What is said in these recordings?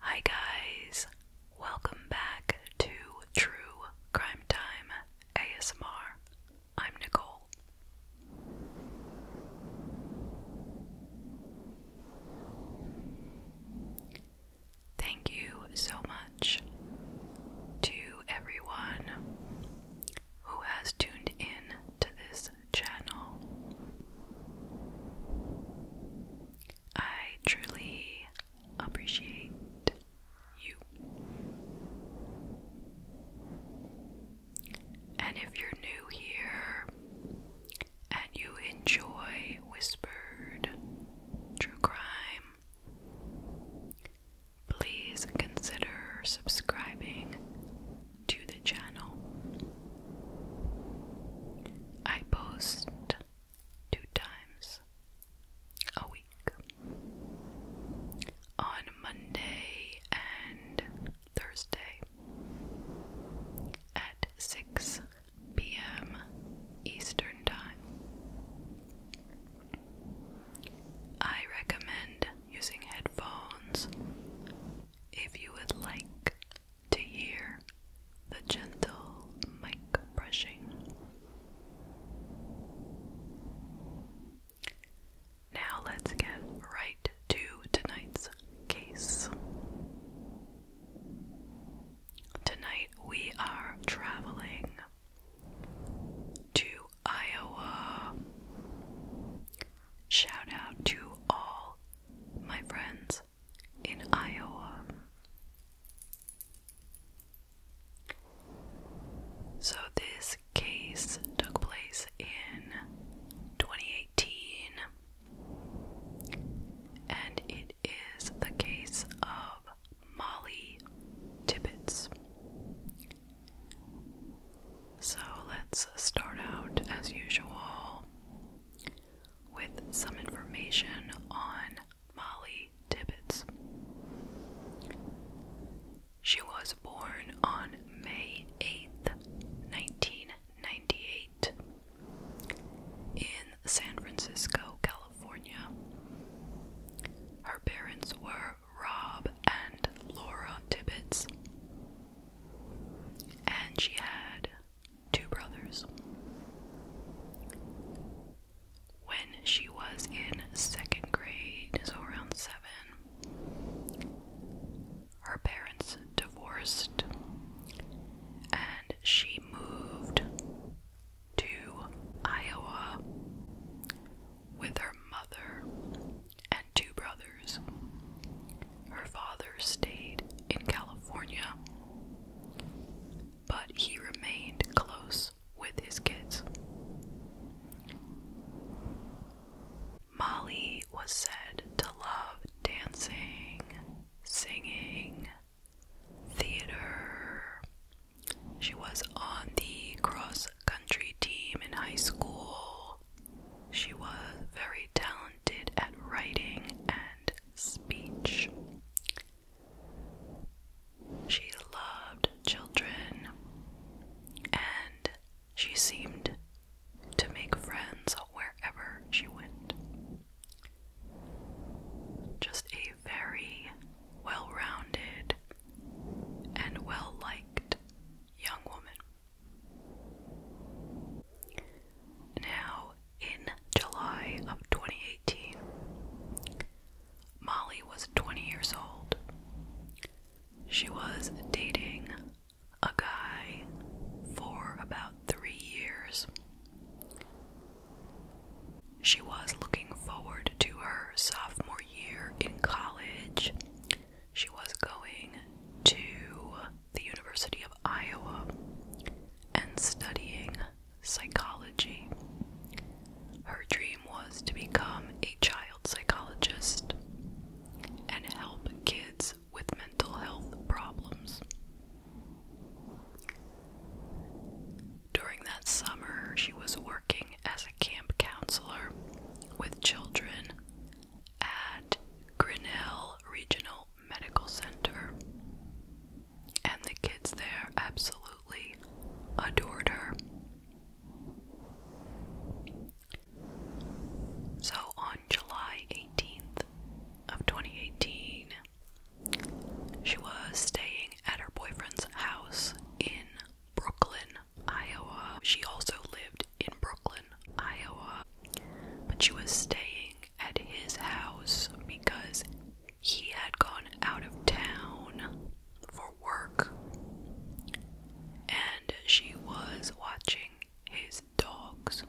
Hi, guys, welcome back to True Crime Time ASMR. I'm Nicole. Thank you so much to everyone who has tuned in to this channel. I truly appreciate you. And if you're new here and you enjoy whispered true crime, Please consider subscribing to the channel. I post two times a week on Monday and Thursday at 6 p.m. Eastern Time. I recommend using headphones if you would like to hear the gentle mic brushing. Now let's get right to tonight's case. Tonight we are traveling to Iowa. Shout out to all my friends in Iowa. So, this case took place in 2018, and it is the case of Molly Tibbets. So let's start out as usual with some information on Molly Tibbets. She was born on May 8th, 1998, in San Francisco, California. Her parents were Rob and Laura Tibbets, and she had two brothers. When she was in second grade, so around seven, her parents divorced and she moved to Iowa with her mother and two brothers. Her father stayed in California, but he remained close with his kids. Molly was said to love dancing, singing, theater. She was on the cross country team in high school. She was very talented at writing and speech. She loved children and she seemed to make friends wherever she went. Just a very well rounded and well liked young woman. Now, in July of 2018, Molly was 20 years old. She was dating a guy for about three years she was looking forward to her sophomore year in college. She was going to the University of Iowa and studying psychology. Her dream was to become a child psychologist and help kids with mental health problems. During that summer, she was working as a camp counselor with children at Grinnell Regional Medical Center. And the kids there absolutely adored her. So on July 18th of 2018, she was staying at her boyfriend's house in Brooklyn, Iowa. She also lived in Brooklyn, Iowa, but she was staying at his house because he had gone out of town for work and she was watching his dogs.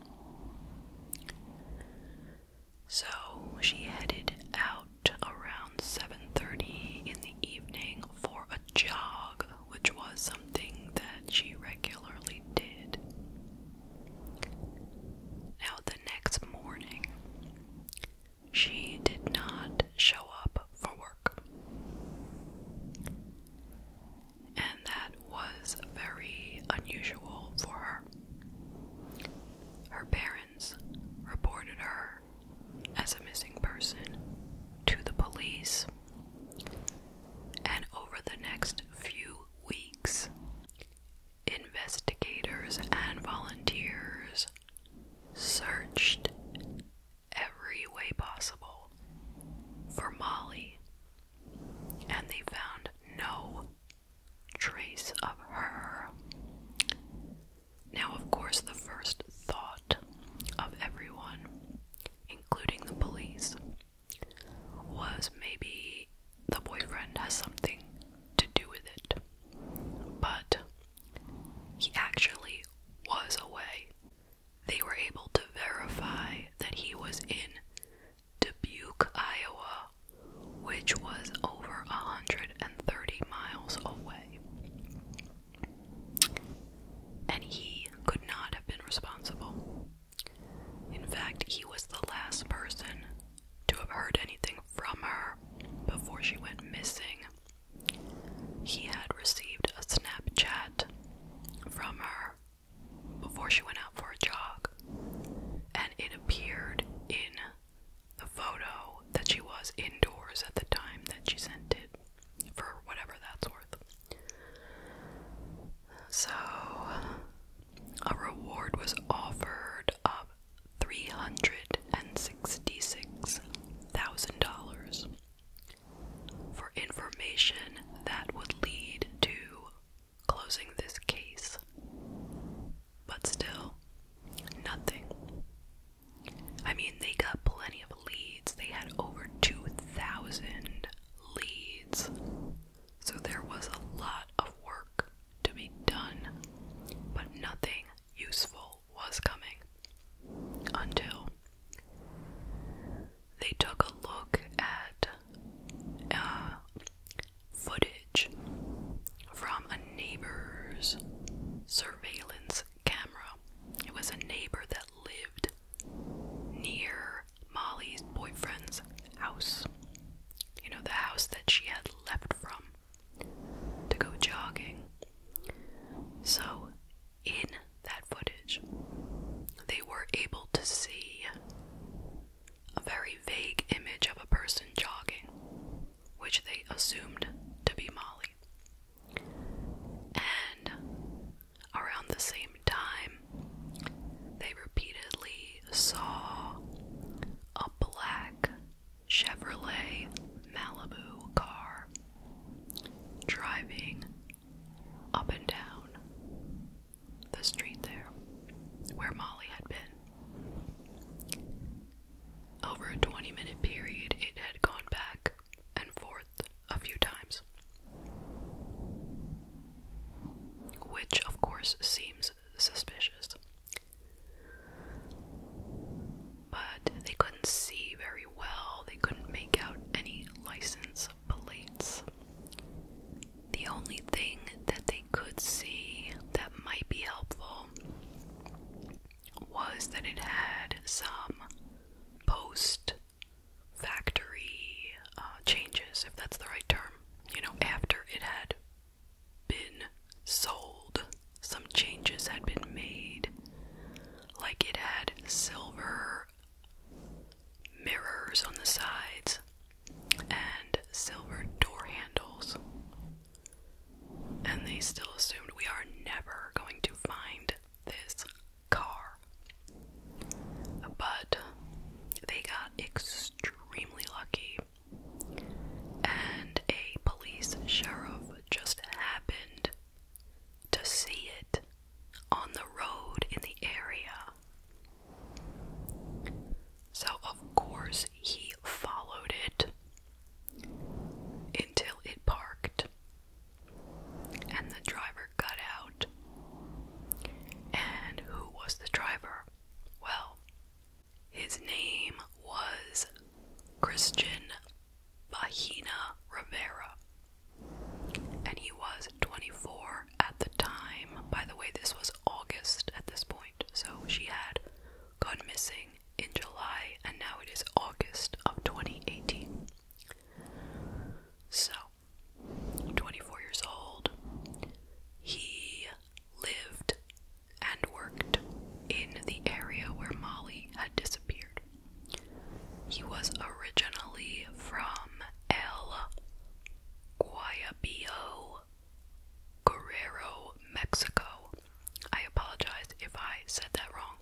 So she headed out around 7:30 in the evening for a jog, which was something that she regularly did. Now the next morning, she did not show up for work. And that was very unusual for her. Her parents reported her as a missing person to the police. And over the next few weeks, investigators and volunteers searched every way possible for Molly, and they found no trace of her. Now, of course, the first thought of everyone, including the police, was maybe the boyfriend has something to do with it. But he actually was away. They were able to verify that he was in Dubuque, Iowa which was over 130 miles away. And he could not have been responsible. In fact, he was the last person to have heard anything from her before she went missing. He had received a Snapchat from her before she went out for a jog, and it appeared in the photo that she was indoors at the time that she sent it, for whatever that's worth. So, a reward was offered of $366,000 for information that would lead to closing this case. But still, nothing. I mean, they got plenty of leads. They had over 2,000 leads. So there was a lot of work to be done, but nothing useful was coming until they took a look at uh, footage from a neighbor's surveillance camera. It was a neighbor that lived near Molly's boyfriend's house. You know, the house that she had left from to go jogging. So, in that footage, they were able to see a very vague image of a person jogging which they assumed to be Molly. And around the same time, they repeatedly saw a black Chevrolet Malibu car driving up and down the street there where Molly had been. Over a 20 minute period, it had gone back and forth a few times. Which, of course, seems suspicious. But they couldn't see very well, they couldn't make out any license plates. The only thing that they could see that might be helpful was that it had some post factory uh, changes, if that's the right term. You know, after it had been sold, some changes had been made. Like it had silver mirrors on the sides and silver door handles and they still assumed we are never going to find this car. But they got extremely lucky, and a police sheriff just happened to see it on the road in the area. So, of course, he followed it until it parked and the driver got out. And who was the driver? Well, his name was Christian Bahina Rivera. And he was 24 at the time. By the way, this was August at this point, so she had gone missing in July, and now it is August of 2018. So, 24 years old, he lived and worked in the area where Molly had disappeared. He was originally from El Guayabo. Guerrero, Mexico. I apologize if I said that wrong.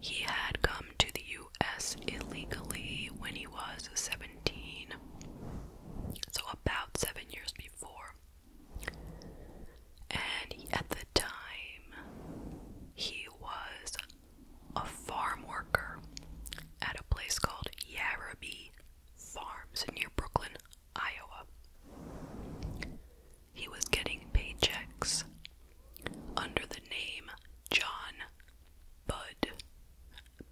He had come to the US illegally when he was 17, so about seven years before. And at the time, he was a farm worker at a place called Yarabee Farms near Brooklyn, Iowa. He was getting paychecks under the name John Bud.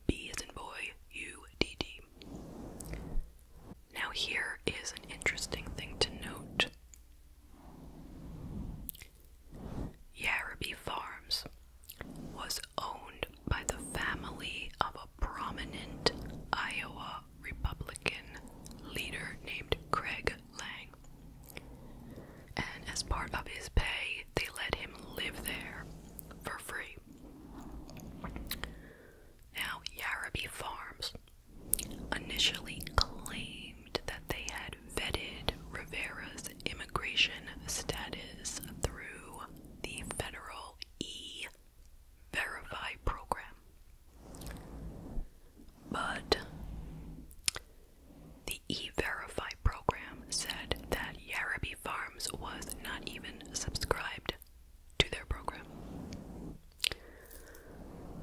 B as in boy, U D D. Now, here is an interesting thing to note Yarraby Farms was owned by the family of a prominent Iowa Republican leader named Craig Lang. And as part of his pay, they let him live there for free. Now, Yarabee Farms initially claimed that they had vetted Rivera's immigration status through the federal E verify program. But the e verify program said that Yarraby Farms was not even subscribed to their program.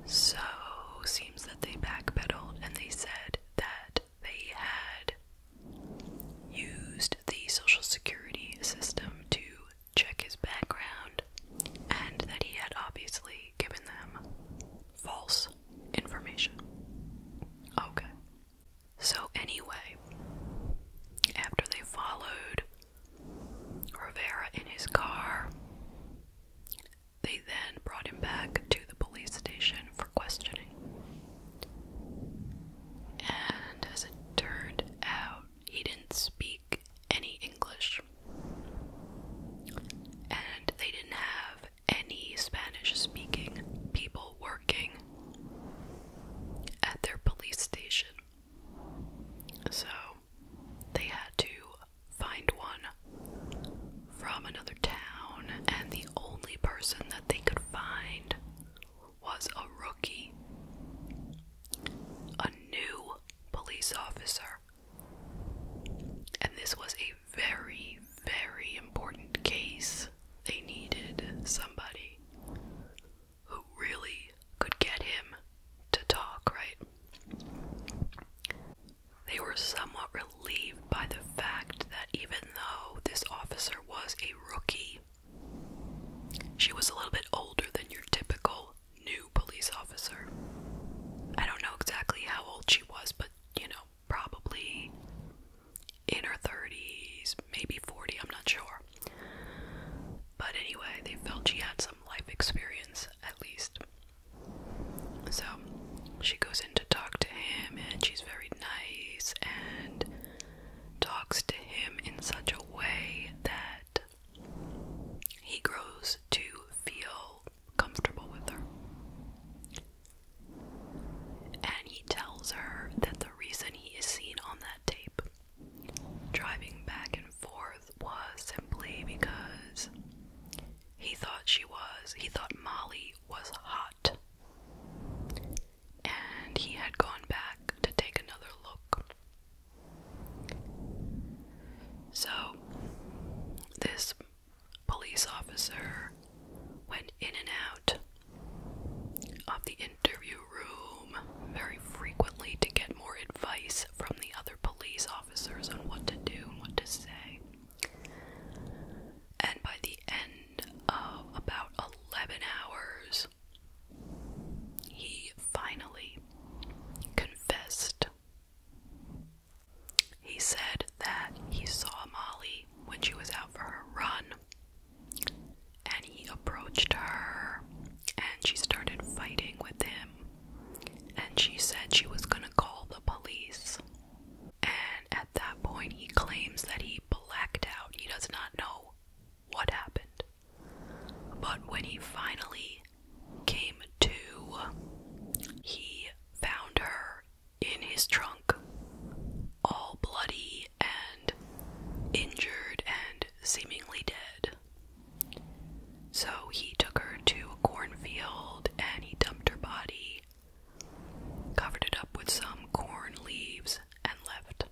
So, seems that they backpedaled and they said that they had used the Social Security system to check his background, and that he had obviously given them false information. Okay. So, anyway, after they followed Rivera in his car, they then brought him back to the police station for questioning. And as it turned out, he didn't speak any English. And they didn't have any Spanish speaking people working at their police station. So they had to find one from another town, and the only person that they could find was a rookie, a new police officer. And this was a very, very important case. They needed somebody who really could get him to talk, right? They were somewhat relieved by the fact that even though this officer was a rookie, she was a little bit older than your typical new police officer. I don't know exactly how old she was, but you know, probably in her 30s, maybe 40, I'm not sure. But anyway, they felt she had some life experience at least. So she goes in to talk to him, and she's very nice and talks to him in such a way that he grows to feel comfortable with her. And he tells her that the reason he is seen on that tape, driving back and forth, was simply because he thought she was, he thought Molly was hot and he had gone back to take another look. So, this police officer went in and out of the interview room very frequently to get more advice from the other police officers on what to do and what to say. And by the end of about 11 hours, he finally confessed. He said that he saw Molly when she was out for her run and he approached her and she started fighting with him and she said she was going to call the police. And at that point he claims that he blacked out. He does not know what happened. But when he finally came to, he found her in his trunk, all bloody and injured and seemingly dead. So he took her to a cornfield and he dumped her body, covered it up with some corn leaves, and left.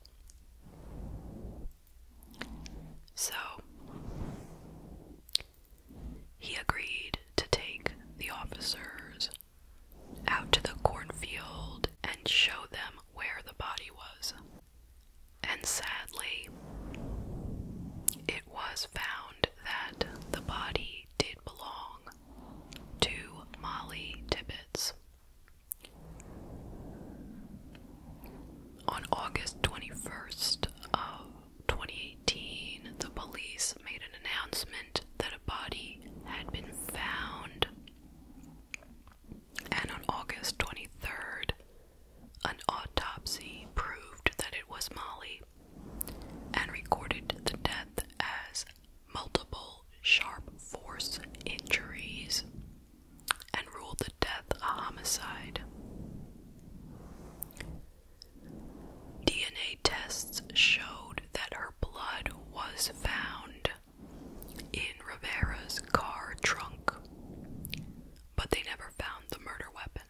So, he agreed to take the officers out to the cornfield and show them where the body was. And sadly, it was found that the body did belong to Molly Tibbets. On August 21st of 2018, the police made an announcement that a body had been found. And on August 23rd, an autopsy proved that it was Molly and recorded the death as multiple sharp force injuries and ruled the death a homicide. DNA tests showed that her blood was found in Rivera's car trunk, but they never found the murder weapon.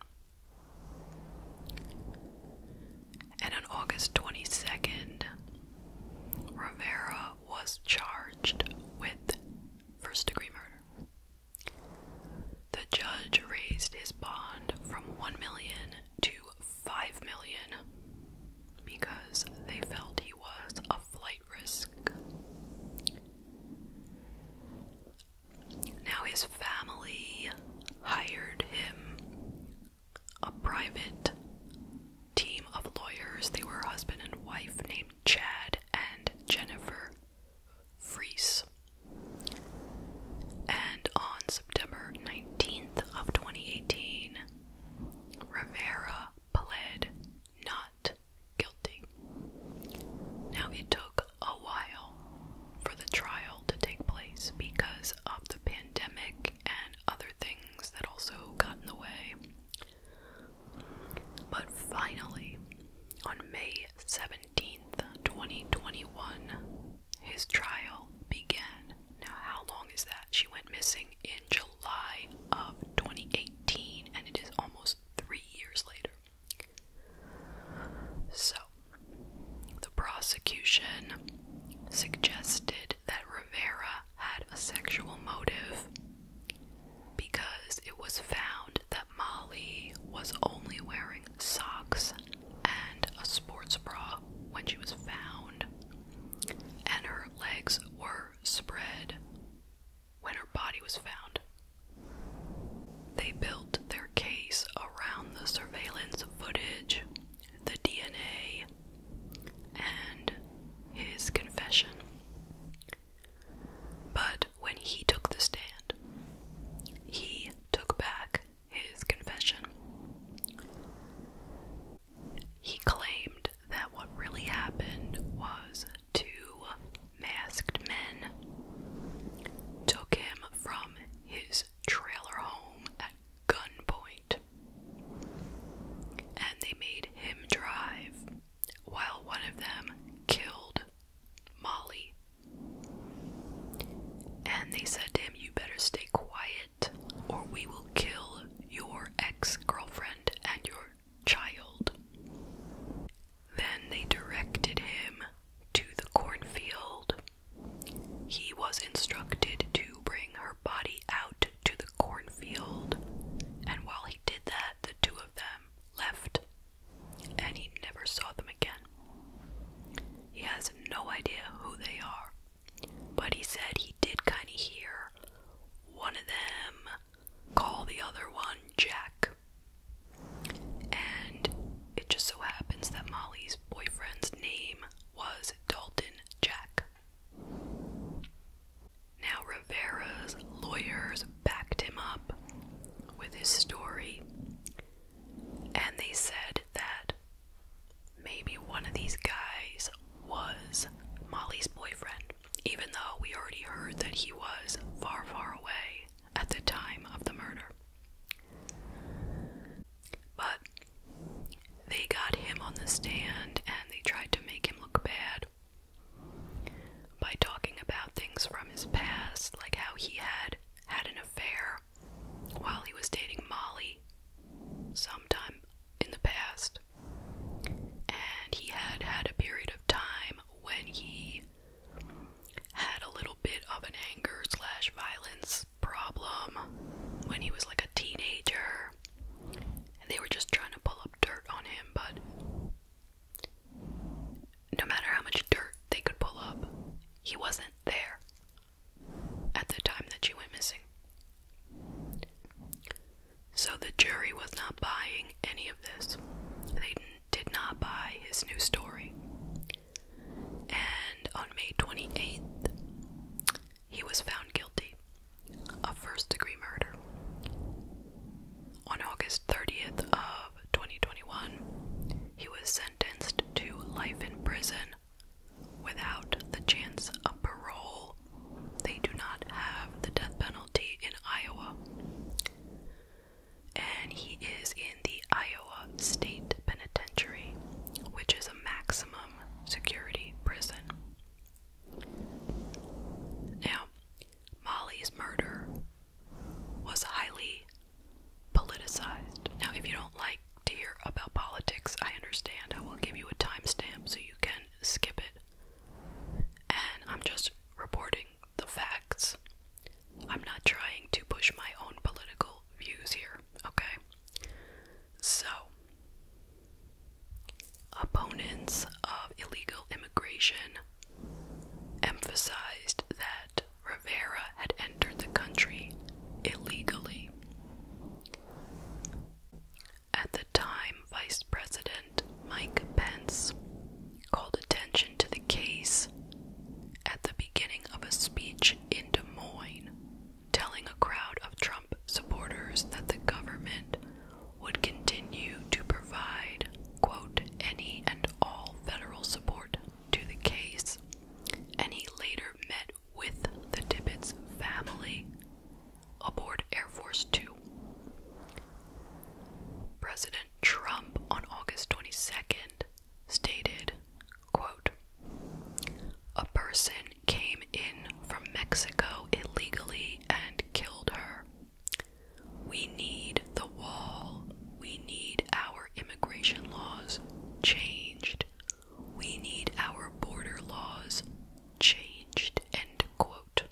And on August 22nd, Rivera was charged with first degree murder. The judge raised his bond from 1 million to 5 million because they felt he was a flight risk. Now his family hired him a private team of lawyers. They were a husband and wife named Chad and Jennifer Freese. And on September 19th of 2018, Rivera pled not guilty. Now it took a while for the trial to take place because of the pandemic and other things that also got in the way but finally, on May 17th, 2021, his trial began. Now, how long is that? She went missing in July of 2018, and it is almost three years later. So, the prosecution suggested that Rivera had a sexual motive because it was found that Molly was only wearing socks and a sports bra when she was found, and her legs were spread when her body was found. They built their case around the surveillance footage, the DNA, and his confession. But when he took the stand, he took back his confession. He claimed that what really happened was two masked men took him from his trailer home at gunpoint and they made him drive while one of them killed Molly. And they said to him, You better stay quiet, or we will kill your ex girlfriend and your child. Then they directed him to the cornfield. He was instructed to bring her body out to the cornfield, and while he did that, the two of them left, and he never saw them again. He has no idea who they are, but he said he did kind of hear one of them call the other one Jack. And it just so happens that Molly's boyfriend's name was Dalton Jack. Now, Rivera's lawyers backed him up with his story, and they said that maybe one of these guys was Molly's boyfriend, even though we already heard that he was far, far away at the time of the murder. But they got him on the stand and they tried to make him look bad by talking about things from his past, like how he had had an affair while he was dating Molly sometime in the past. And he had had a period of time when he had a little bit of an anger slash violence problem when he was like a teenager. And they were just trying to pull up dirt on him, but no matter how much dirt they could pull up, he wasn't there at the time that she went missing. So the jury was not buying any of this. They did not buy his new story. And on May 28th, he was found guilty a first degree murder. On August 30th of 2021, he was sentenced to life in prison without the chance of parole. They do not have the death penalty in Iowa. And he is in the Iowa State Penitentiary, which is a maximum security prison. Now, Molly's murder was highly politicized. Now, if you don't like to hear about politics, I understand. I will give you a timestamp so you can skip it. And I'm just reporting the facts. I'm not trying to push my own political views here, okay? So, Opponents of illegal immigration emphasized that Rivera had entered the country illegally. At the time, Vice President Mike Pence called attention to the case at the beginning of a speech in Des Moines, telling a crowd of Trump supporters that the government would continue to provide, quote, any and all federal support to the case, Any later met with the Tibbetts family aboard Air Force Two. President Trump on August 22nd stated, quote, a person came in from Mexico illegally and killed her we need the wall. We need our immigration laws changed. We need our border laws changed. End quote.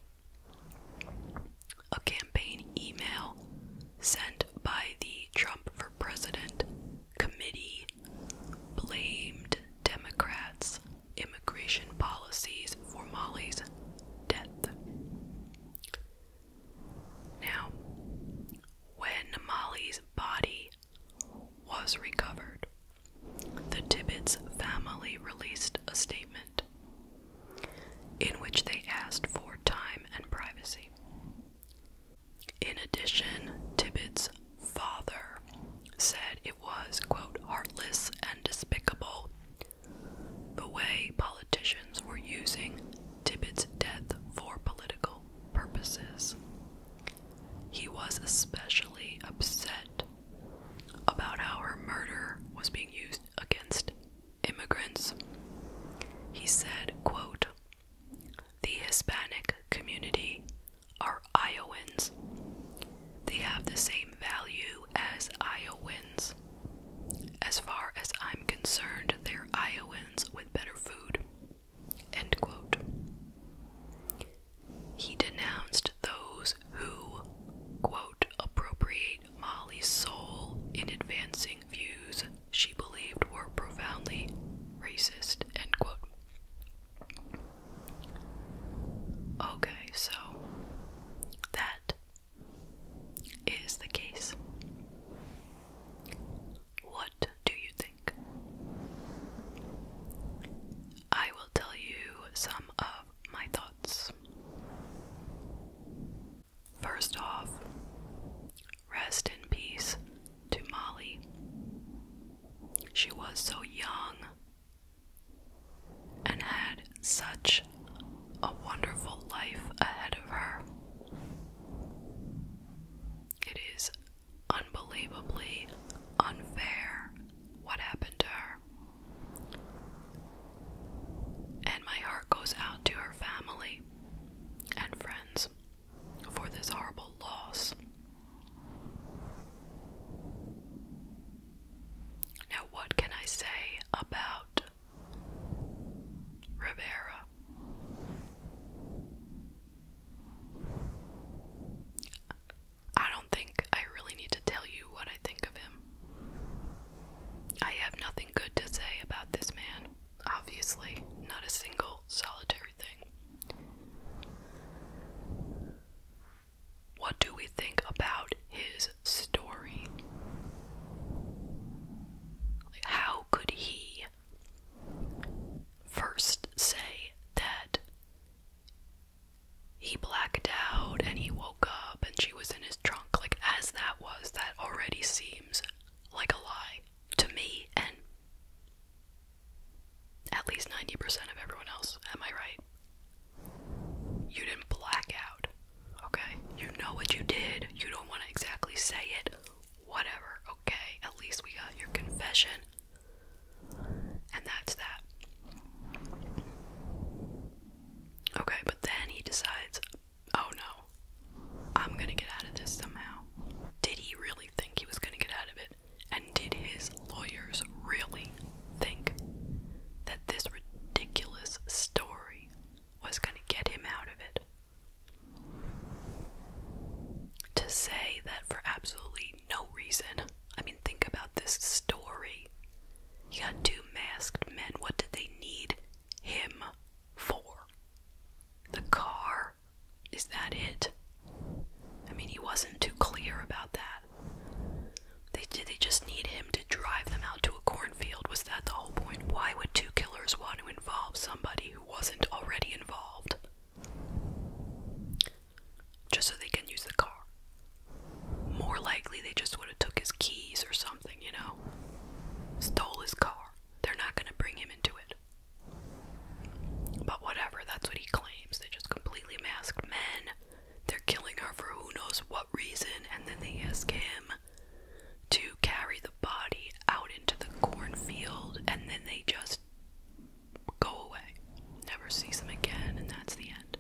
A campaign email sent by the Trump for President committee blamed Democrats immigration policies for Molly's death. Now, when Molly's body was recovered, the Tibbetts family released a statement in which they asked for time and privacy. In addition, Tibbetts' father said it was, quote, heartless and despicable the way politicians were using Tibbetts' death for political purposes. He was especially upset about how her murder was being used against immigrants. He said, quote, The Hispanic community are Iowans. They have the same value as Iowans. As far as I'm concerned, they're Iowans with better food. He denounced those who, appropriate Molly's soul in advancing views she believed were profoundly racist, Okay, so that is the case. What do you think? I will tell you some of my thoughts. First off, rest in peace to Molly. She was so young and had such a wonderful life ahead of her. It is unbelievably unfair what happened to her. And my heart goes out to her family and friends for this horrible loss. Now, what can I say about Rivera? I don't think I really need to tell you what I think of him. I have nothing good to say about this man, obviously, not a single solitary thing. What do we think about his story? how could he first say that he blacked out and he woke up and she was in his trunk? Like, as that was, that already seems like a lie to me and at least 90% of everyone else. Am I right? You didn't black out, okay? You know what you did. You don't want to exactly say it. Whatever, okay? At least we got your confession. And that's that. Okay, but then he decides, oh no, I'm gonna get out of this somehow. Did he really think he was gonna get out of it? And did his lawyers really think that this ridiculous story was going to get him out of it. To say that for absolutely no reason, I mean, think about this story. You got two masked men. What did they need him for? The car? Is that it? I mean, he wasn't too clear about that. They did they just need him to drive them out to a cornfield? Was that the whole point? Why would two killers want to involve somebody who wasn't already involved? Just so they can use the car. More likely they just would have took his keys or something, you know. Stole his car. They're not gonna bring him into it. But whatever, that's what he claims. They are just completely masked men they're killing her for who knows what reason, and then they ask him to carry the body out into the cornfield, and then they just go away. Never sees them again, and that's the end.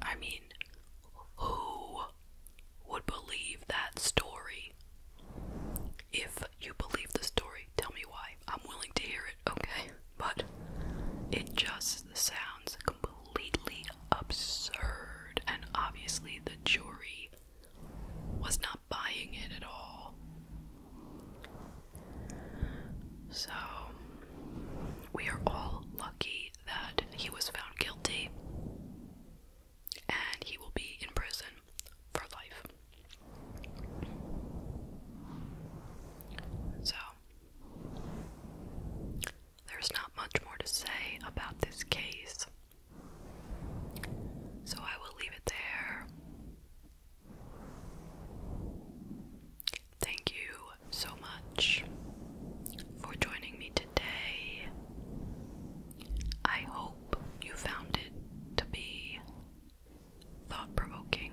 I mean, who would believe that story? If you believe the story, tell me why. I'm willing to hear it okay? But it just sounds completely absurd, and obviously the jury was not buying it at all. So, we are all lucky that he was found guilty and he will be in prison for life. So, there's not much more to say about this case. So I will leave it there. Thank you so much for joining me today. I hope you found it to be thought provoking.